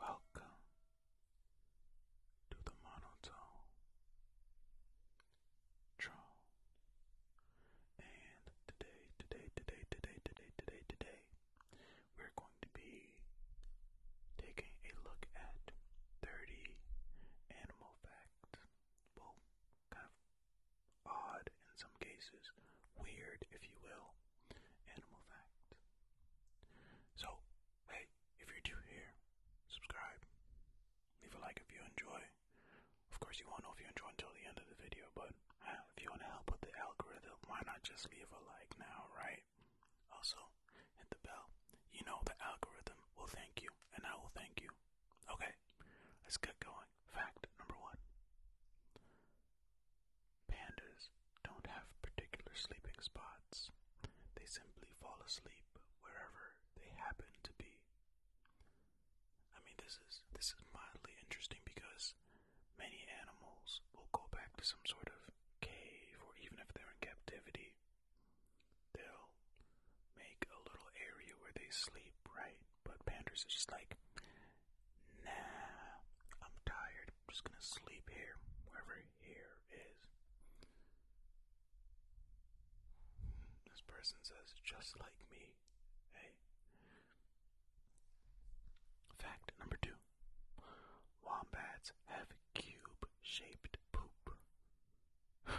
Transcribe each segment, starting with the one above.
Welcome to the monotone troll. And today, today, today, today, today, today, today, we're going to be taking a look at 30 animal facts. Well, kind of odd in some cases, weird, if you will, animal facts. So, hey, if you're new here, subscribe. Leave a like if you enjoy. Of course, you won't know if you enjoy until the end of the video, but ah, if you want to help with the algorithm, why not just leave a like now, right? Also, hit the bell. You know the algorithm will thank you, and I will thank you. Okay, let's get going. Fact number one Pandas don't have particular sleeping spots, they simply fall asleep wherever they happen to be. I mean, this is this is mildly interesting because many animals will go back to some sort of cave, or even if they're in captivity, they will make a little area where they sleep, right? But pandas are just like, nah, I'm tired. I'm just gonna sleep here, wherever here is. This person says, just like me. Hey. Fact number two. Wombats have cube-shaped poop. yeah,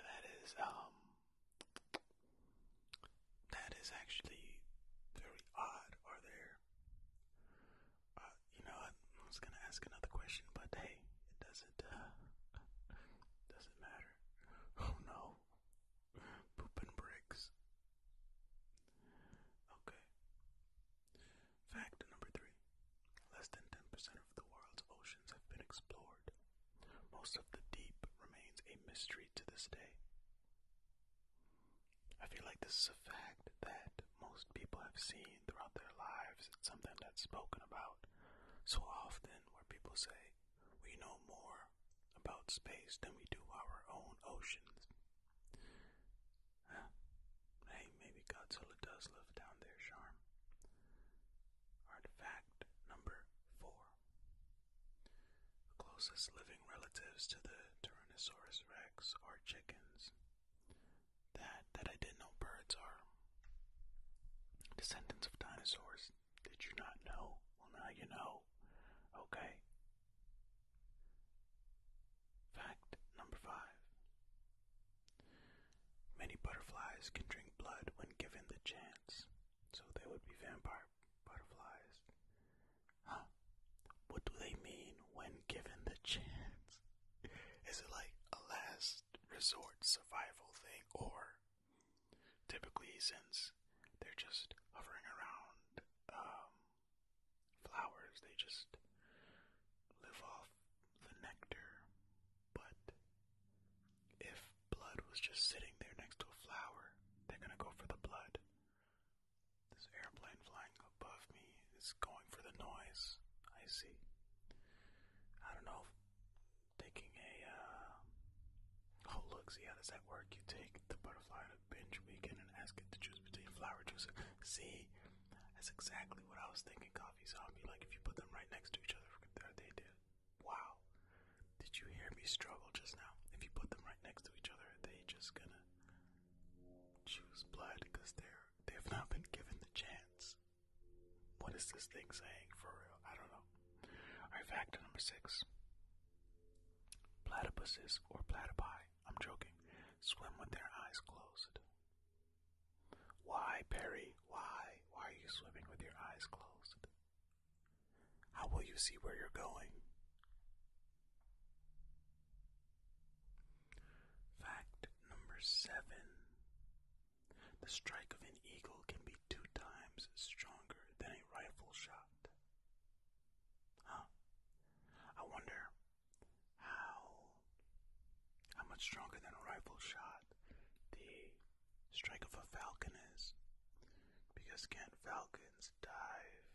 that is um that is actually very odd. Are there uh, you know, I was gonna ask another question, but hey, it doesn't uh, doesn't matter. Oh no. Poop and bricks. Okay. Fact number three less than 10% of the world's oceans have been explored. Most of the deep remains a mystery to this day. I feel like this is a fact that most people have seen throughout their lives. It's something that's spoken about so often, where people say, We know more about space than we do our own oceans. Huh. Hey, maybe Godzilla does live down there, Charm. Artifact number four. closest living relatives to the Tyrannosaurus rex are chickens. That that I didn't know birds are descendants of dinosaurs. Did you not know? Well, now you know. Okay, Fact number five. Many butterflies can drink blood when given the chance, so they would be vampire butterflies. Huh? What do they mean when given the chance? Is it like a last resort survival thing, or typically since they're just hovering around um, flowers, they just live off the nectar. But if blood was just sitting there next to a flower, they're gonna go for the blood. This airplane flying above me is going for the noise. I see. I don't know. Taking a uh, oh look, see how does that work? You take the butterfly binge weekend and ask it to choose between flower juice. See, that's exactly what I was thinking, Coffee Zombie. Like, if you put them right next to each other, they did. Wow. Did you hear me struggle just now? If you put them right next to each other, they just gonna choose blood because they're they've not been given the chance. What is this thing saying for real? I don't know. Alright, factor number six. Platypuses or platypi I'm joking. Swim with their eyes closed. Why, Perry? Why? Why are you swimming with your eyes closed? How will you see where you're going? Fact number seven The strike of an eagle can be two times stronger than a rifle shot. Huh. I wonder how how much stronger than a rifle shot the strike of a falcon is. Because can't falcons dive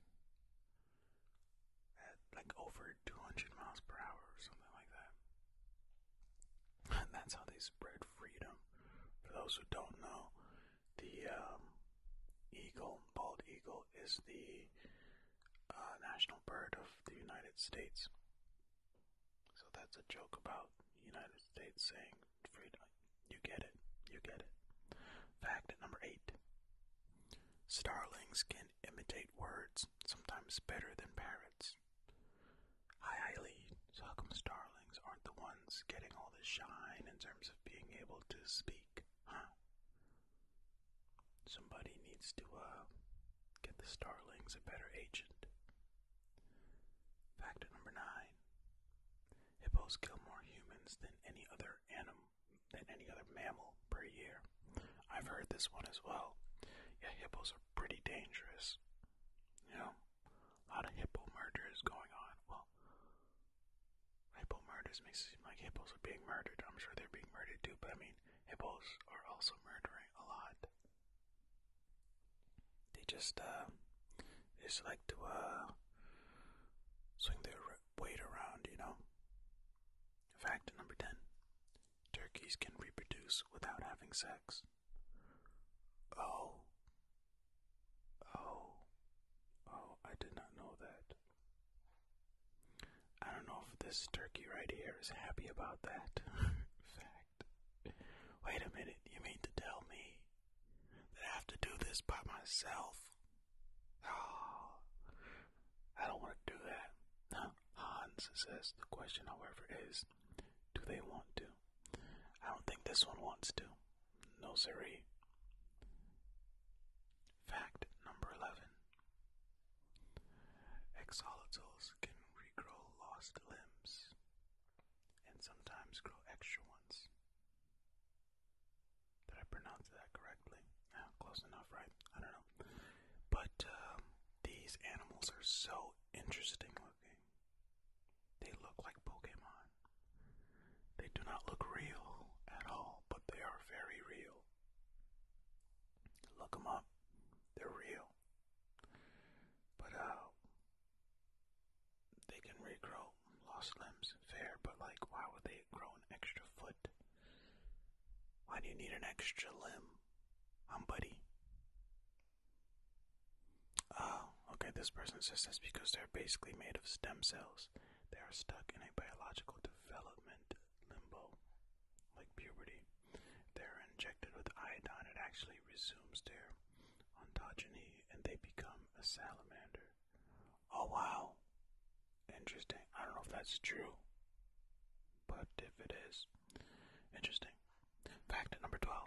at like over 200 miles per hour or something like that? And that's how they spread freedom. For those who don't know, the um, eagle, bald eagle, is the uh, national bird of the United States. So that's a joke about United States saying freedom. You get it. You get it. Fact number eight. Starlings can imitate words, sometimes better than parrots. Hi, Eileen. So how come starlings aren't the ones getting all the shine in terms of being able to speak? Huh. Somebody needs to uh, get the Starlings a better agent. Factor number nine: hippos kill more humans than any other animal than any other mammal per year. I've heard this one as well. Yeah, hippos are pretty dangerous. You know, a lot of hippo murders going on. Well, Hippo murders makes it seem like hippos are being murdered. I'm sure they're being murdered too, but I mean, hippos are also murdering a lot. They just, uh, they just like to, uh, swing their weight around, you know? Fact number 10 Turkeys can reproduce without having sex. Oh, Oh, oh, I did not know that. I don't know if this turkey right here is happy about that fact. Wait a minute, you mean to tell me that I have to do this by myself? Oh, I don't want to do that. Hans says the question, however, is do they want to? I don't think this one wants to. No siree. Fact number 11. Exolotls can regrow lost limbs and sometimes grow extra ones. Did I pronounce that correctly? Ah, close enough, right? I don't know. But um, these animals are so interesting looking. They look like Pokemon. They do not look real at all, but they are very real. Look them up. They're real. But, uh, they can regrow lost limbs, fair, but like, why would they grow an extra foot? Why do you need an extra limb? I'm Buddy. Oh, okay, this person says this because they're basically made of stem cells. They are stuck in a biological development limbo, like puberty. They are injected with iodine, it actually resumes their ontogeny, and they become a salamander. Oh wow! Interesting. I don't know if that's true, but if it is, interesting. Fact number 12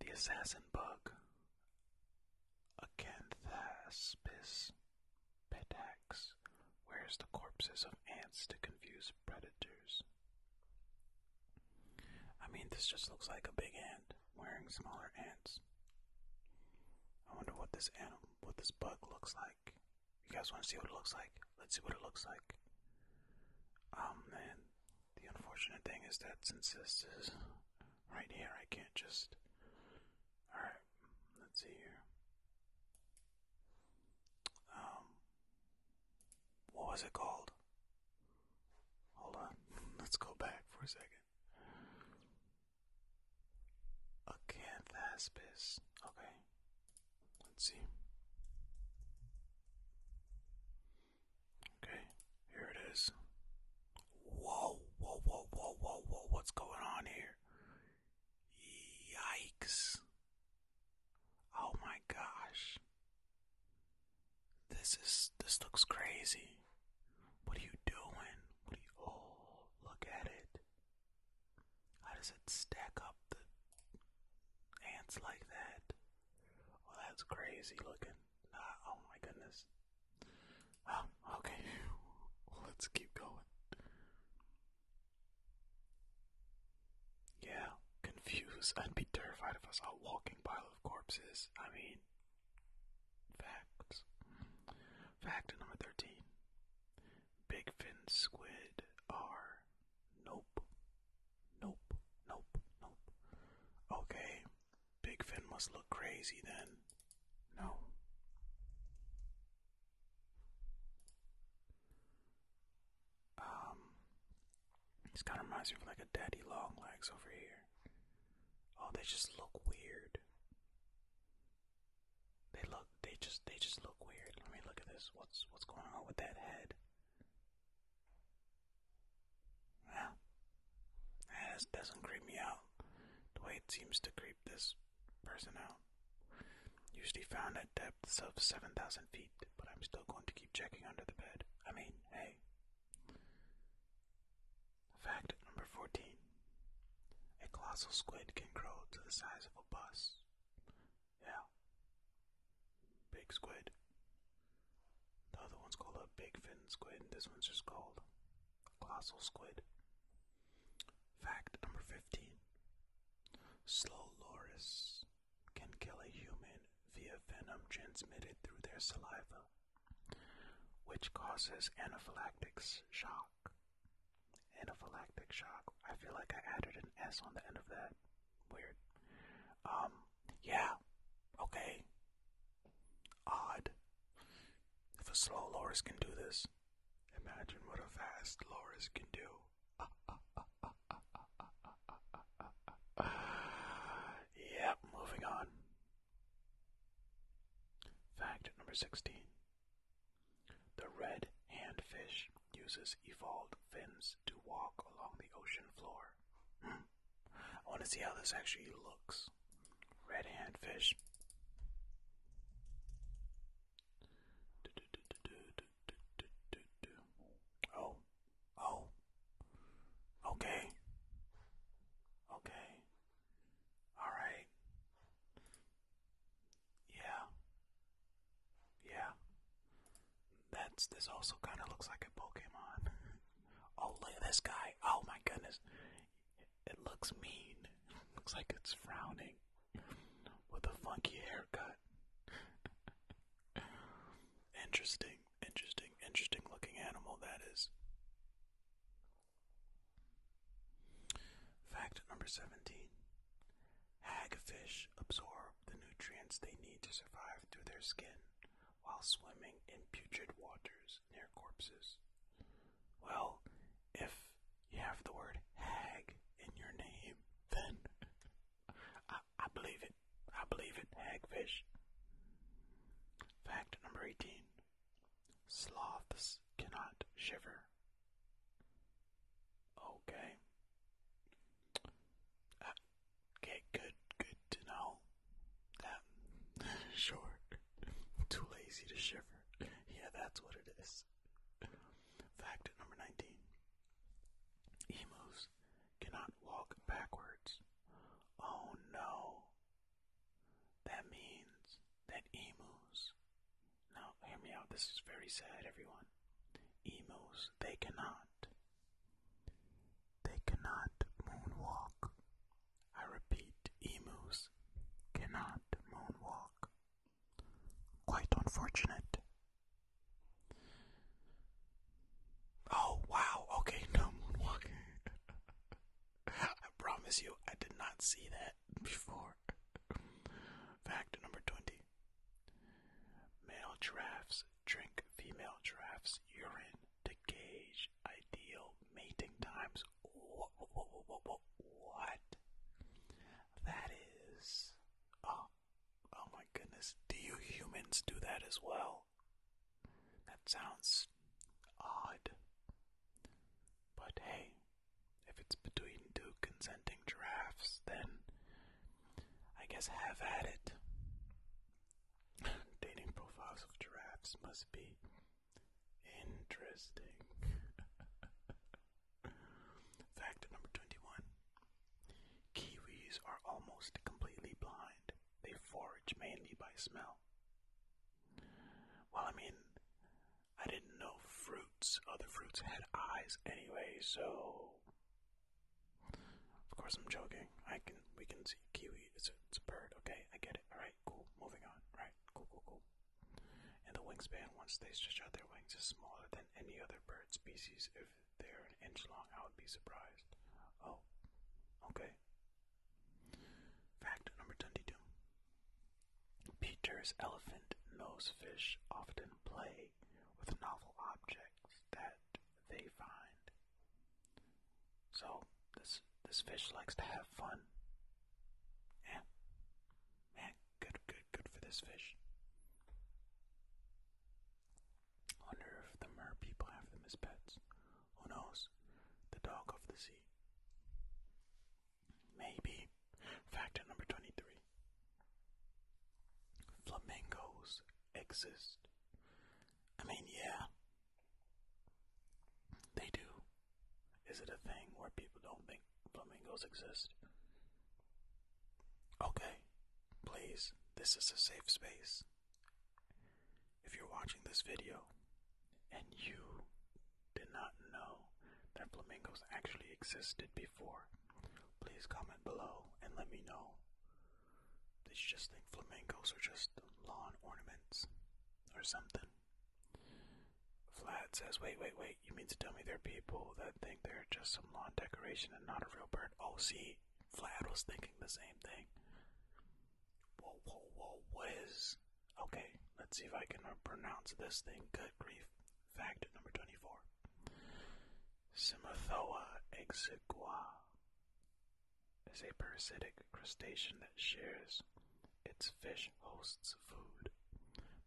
the assassin bug, Acanthaspis petax, wears the corpses of ants to confuse predators. I mean, this just looks like a big ant wearing smaller ants. I wonder what this animal, what this bug looks like. You guys want to see what it looks like? Let's see what it looks like. Um, man, the unfortunate thing is that since this is right here. I can't just. Alright, let's see here. Um, what was it called? Hold on, let's go back for a second. Acanthaspis. Okay, let's see. Okay, here it is. Whoa, whoa, whoa, whoa, whoa, whoa, what's going on here? Yikes. Oh my gosh. This is, this looks crazy. What are you doing? What are you, oh, look at it. How does it stack up the ants like that? Well, oh, that's crazy looking oh my goodness. Oh, okay. Let's keep going. Yeah, confused. i be terrified if I saw walking pile of corpses. I mean, facts. Fact number 13. Big fin squid are. Nope. Nope, nope, nope. Okay, Big Fin must look crazy then. No. Um, this kind of reminds me of like a daddy long legs over here. Oh, they just look weird. They look, they just, they just look weird. Let me look at this. What's, what's going on with that head? Yeah. yeah. doesn't creep me out the way it seems to creep this person out. Usually found at depths of 7,000 feet, but I'm still going to keep checking under the bed. I mean, hey. Fact number 14 A colossal squid can grow to the size of a bus. Yeah big squid. The other one's called a big squid, and this one's just called a colossal squid. Fact number 15 Slow loris can kill a human via venom transmitted through their saliva, which causes anaphylactic shock. Anaphylactic shock. I feel like I added an S on the end of that. Weird. Um, yeah. Okay. Odd. If a slow Loris can do this, imagine what a fast Loris can do. yep, moving on. Fact number 16. The red handfish uses evolved fins to walk along the ocean floor. Hmm. I want to see how this actually looks. Red hand fish. Oh, oh, okay, okay, all right, yeah, yeah, that's this also kind of looks like a Pokemon. oh look at this guy! Oh my goodness, it looks mean. looks like it's frowning with a funky haircut. interesting, interesting, interesting looking animal that is. Fact number seventeen: Hagfish absorb the nutrients they need to survive through their skin while swimming in putrid waters near corpses. Well, if you have the word hag in your name, then I, I believe it. I believe it. Hagfish. Fact number 18 Sloths cannot shiver. Okay. Uh, Okay, good, good to know. That, sure. Too lazy to shiver. Yeah, that's what it is. Fact number 19 Emus cannot walk backwards. Oh no. That means that emus. Now, hear me out. This is very sad, everyone. Emus, they cannot they cannot moonwalk. I repeat, emus cannot moonwalk. Quite unfortunate. Oh, wow. Okay, no moonwalking. I promise you, I did not see that before. Fact number 20 Male giraffes drink female giraffes' urine to gauge ideal mating times. What? That is. Oh, oh my goodness. Do you humans do that as well? That sounds odd. But hey, if it's between two consenting giraffes, then I guess have at it. Dating profiles of giraffes must be interesting. Fact number 21 Kiwis are almost completely blind, they forage mainly by smell. Well, I mean, I didn't know fruits, other fruits had eyes anyway, so of course, I'm joking. I can, we can see kiwi. It's a, bird. Okay, I get it. All right, cool. Moving on. All right, cool, cool, cool. And the wingspan, once they stretch out their wings, is smaller than any other bird species. If they're an inch long, I would be surprised. Oh, okay. Fact number 22 Peter's elephant nosefish often play with novel objects that they find. So this this fish likes to have fun. Yeah. Man, good good good for this fish. Wonder if the mer people have them as pets. Who knows? The dog of the sea. Maybe. Factor number twenty-three. Flamingos exist. I mean, yeah, they do. Is it a thing where people don't think flamingos exist? Okay, please, this is a safe space. If you're watching this video and you did not know that flamingos actually existed before, please comment below and let me know. Did you just think flamingos are just lawn ornaments or something? Vlad says, wait, wait, wait, you mean to tell me there are people that think they're just some lawn decoration and not a real bird? Oh, see, Vlad was thinking the same thing. Whoa, whoa, whoa, what is. Okay, let's see if I can pronounce this thing. Good grief. Fact number 24. Simothoa exigua is a parasitic crustacean that shares its fish host's food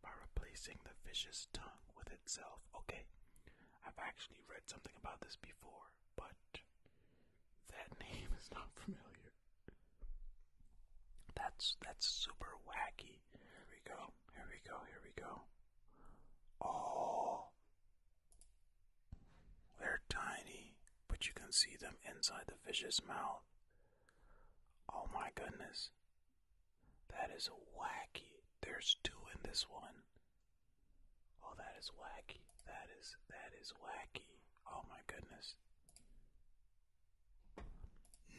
by replacing the fish's tongue with itself. Okay, I've actually read something about this before, but that name is not familiar. That's that's super wacky. Here we go. Here we go. Here we go. Oh, they're tiny, but you can see them inside the fish's mouth. Oh my goodness. That is wacky. There's two in this one. Oh, that is wacky. That is, that is wacky. Oh my goodness.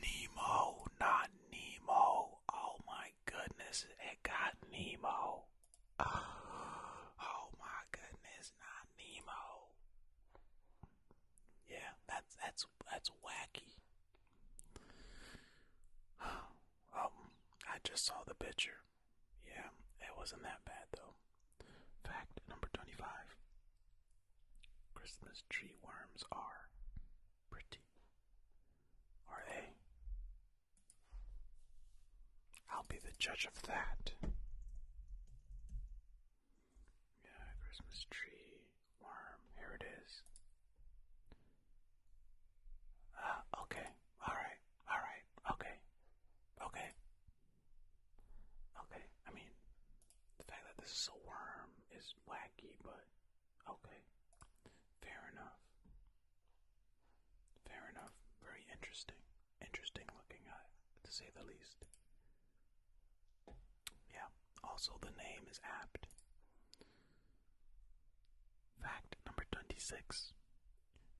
Nemo, not Nemo. Oh my goodness, it got Nemo. Ah. Oh my goodness, not Nemo. Yeah, that's that's that's wacky. Um, I just saw the picture. Yeah, it wasn't that bad though. Fact number twenty-five: Christmas tree worms are pretty are they? I'll be the judge of that. Yeah, Christmas tree, worm, here it is. Ah, okay, alright, alright, okay, okay. Okay, I mean, the fact that this is a worm is wacky, but Okay. Fair enough. Fair enough. Very interesting. Interesting looking eye, to say the least. Yeah. Also, the name is apt. Fact number 26.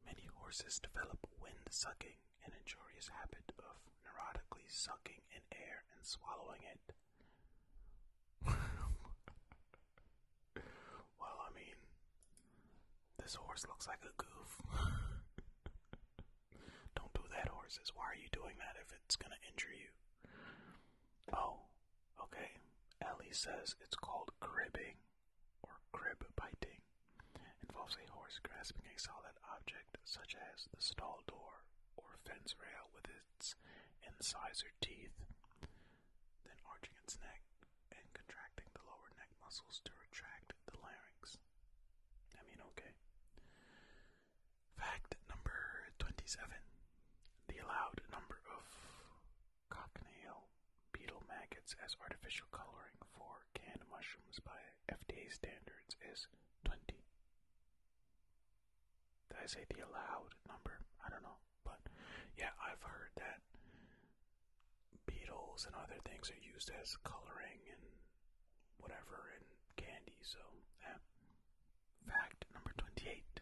Many horses develop wind sucking, an injurious habit of neurotically sucking in air and swallowing it. well, I mean, this horse looks like a goof. Don't do that, horses. Why are you doing that if it's gonna injure you? Oh, okay. Ellie says it's called cribbing or crib biting. Involves a horse grasping a solid object such as the stall door or fence rail with his incisor teeth, then arching its neck and contracting the lower neck muscles to retract the larynx. I mean, okay. Fact number 27. The allowed number of cochineal beetle maggots as artificial coloring for canned mushrooms by FDA standards is 20. Did I say the allowed number? I don't know. But yeah, I've heard that beetles and other things are used as coloring and whatever in candy. So, Fact number 28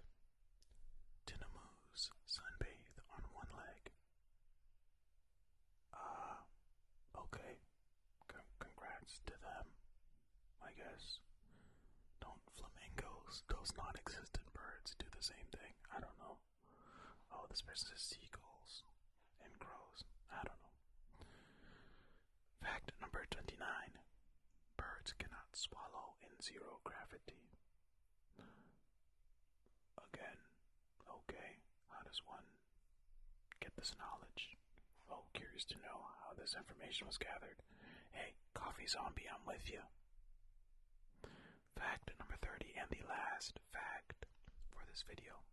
Tinamous sunbathe on one leg. Ah, okay. congrats to them. I guess. Don't flamingos, those non existent birds, do the same thing? I don't know. Oh, this person says seagulls and crows. I don't know. Fact number 29 Birds cannot swallow in zero gravity. Again, okay, how does one get this knowledge? Oh, curious to know how this information was gathered. Hey, coffee zombie, I'm with you. Fact number 30 and the last fact for this video.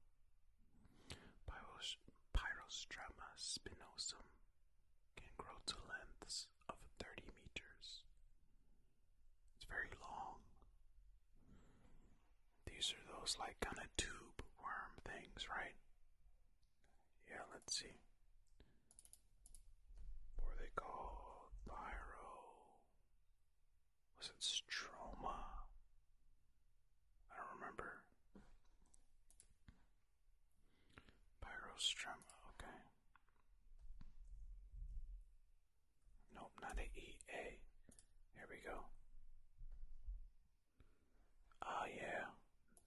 Pyros Pyrostroma can grow to lengths of 30 meters. It's very long. These are those like kind of tube worm things, right? Yeah, let's see. What are they called? Pyro. Was it Stroma? I don't remember. Pyrostroma, okay. Nope, not a Here we go. Ah, yeah.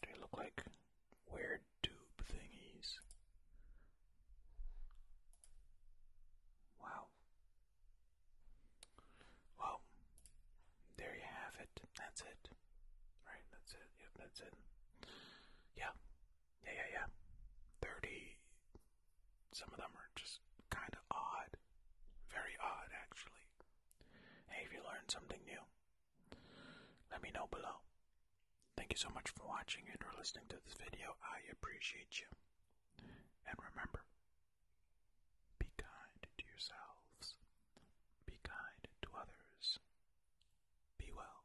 They look like weird tube thingies. Wow. Well, there you have it. That's it. Right, that's it. Yep, that's it. Yeah. Yeah, yeah, yeah. 30. Some of them are just kind of odd. Very odd, actually. Hey, you learn something new, let me know below. Thank you so much for watching and for listening to this video. I appreciate you. And remember, be kind to yourselves, be kind to others, be well.